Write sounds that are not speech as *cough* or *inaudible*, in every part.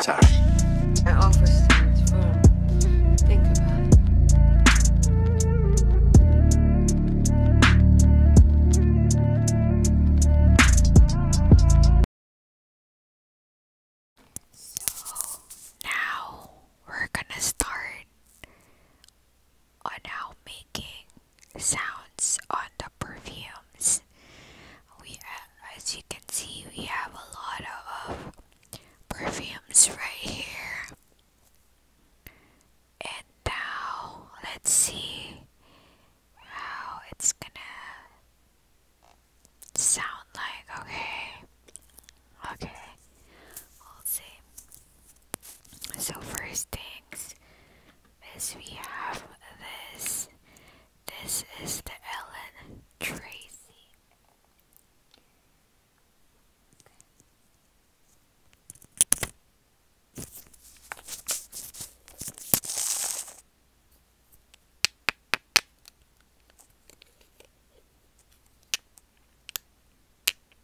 Sorry. Think about it. So now we're gonna start are now making sounds on the perfumes. We, uh, as you can see, we have a lot of perfumes right here. And now let's see how it's gonna sound like. Okay, okay, we'll see. So first things as we have this. This is the Ellen Tracy.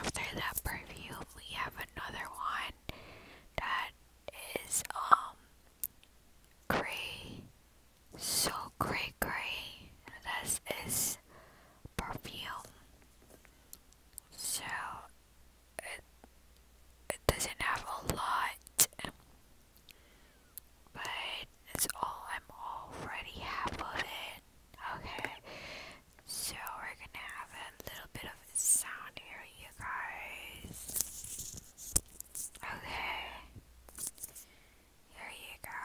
after that perfume, we have another one that is um gray, so gray, gray. This is perfume, so it it doesn't have a lot, but it's all I'm already half of Okay, so we're gonna have a little bit of sound here, you guys. Okay. Here you go.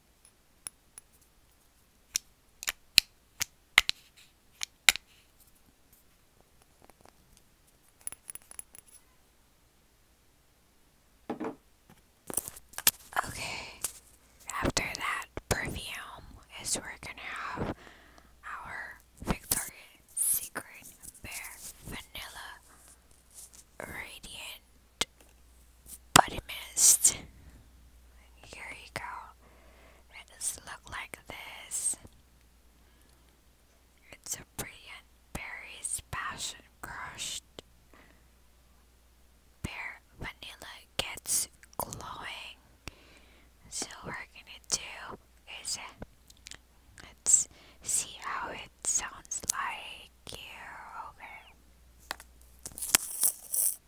Okay, after that perfume is we're gonna have our Victoria Secret Bear Vanilla Radiant but he Here you go. It does like this. It's a brilliant berry's passion crushed. Pear vanilla gets glowing. So we're gonna do is uh, let's see how it sounds like you okay.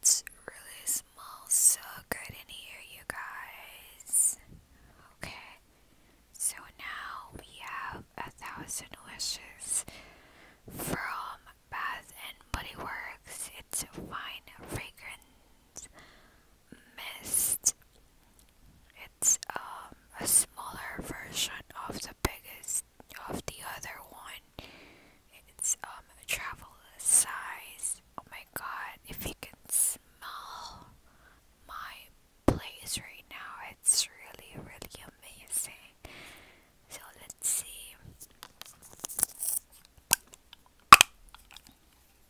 It's really smells so good in here, you guys. Okay, so now we have a thousand wishes from Bath and Body Works. It's a fine fragrance mist. It's um, a smaller version of the biggest of the other one. It's um a travel size. Oh my god, if you can smell my place right now, it's really really amazing. So let's see.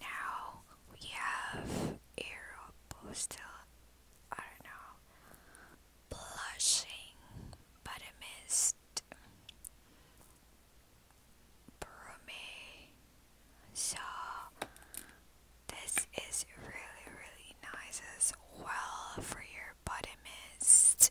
now we have Aeropostale, I don't know, Blushing Buttermist, Brome. So, this is really, really nice as well for your body mist.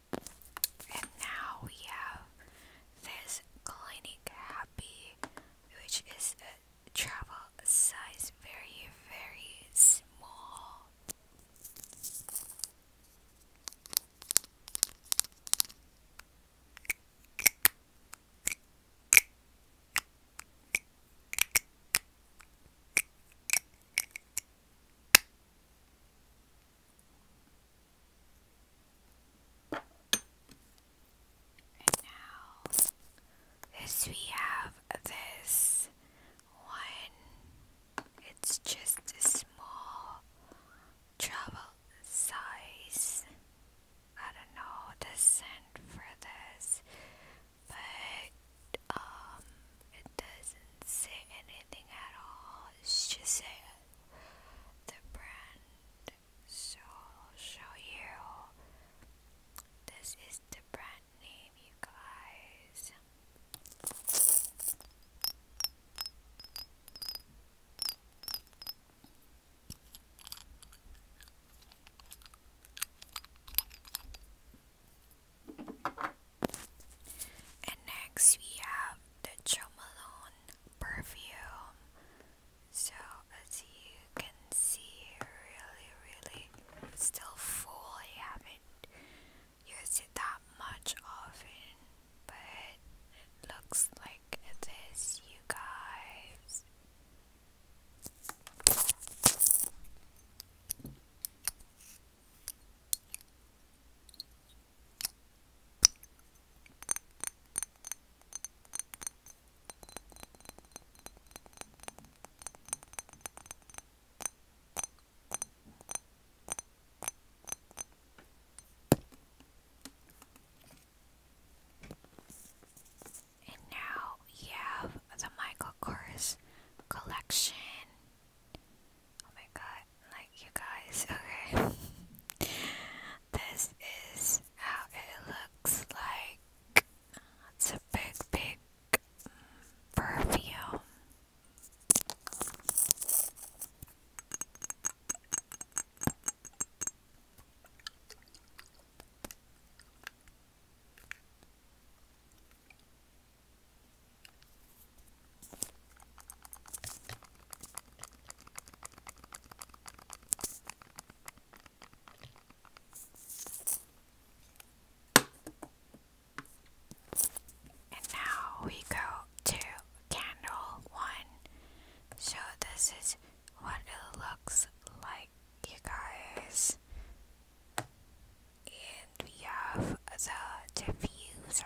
And now we have this Clinic Happy, which is a travel size, very, very small. And now, this we have this one. It's just a small travel size. I don't know the scent for this, but um, it doesn't say anything at all. It's just a the brand so show you this is the brand name you guys and next we have the Jo perfume. So as you can see, really, really still full. I haven't used it that much often, but it looks like this, you guys. And now you have the Michael Kors collection Oh my god, like you guys, okay. *laughs* this is how it looks like. It's a big, big perfume. And now we go to candle one. So, this is what it looks like, you guys. And we have the diffuser.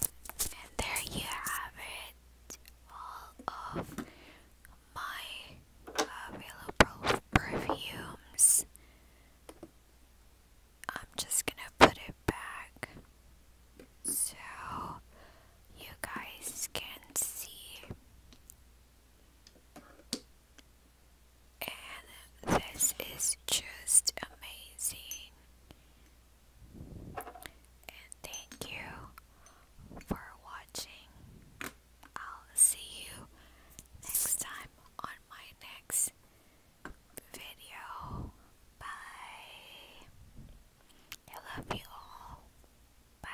And there you have it, all of my available uh, perfumes. I'm just gonna put it back so you guys can see and this is just amazing. And thank you for watching. I'll see you next time on my next video. Bye. I love you all. Bye.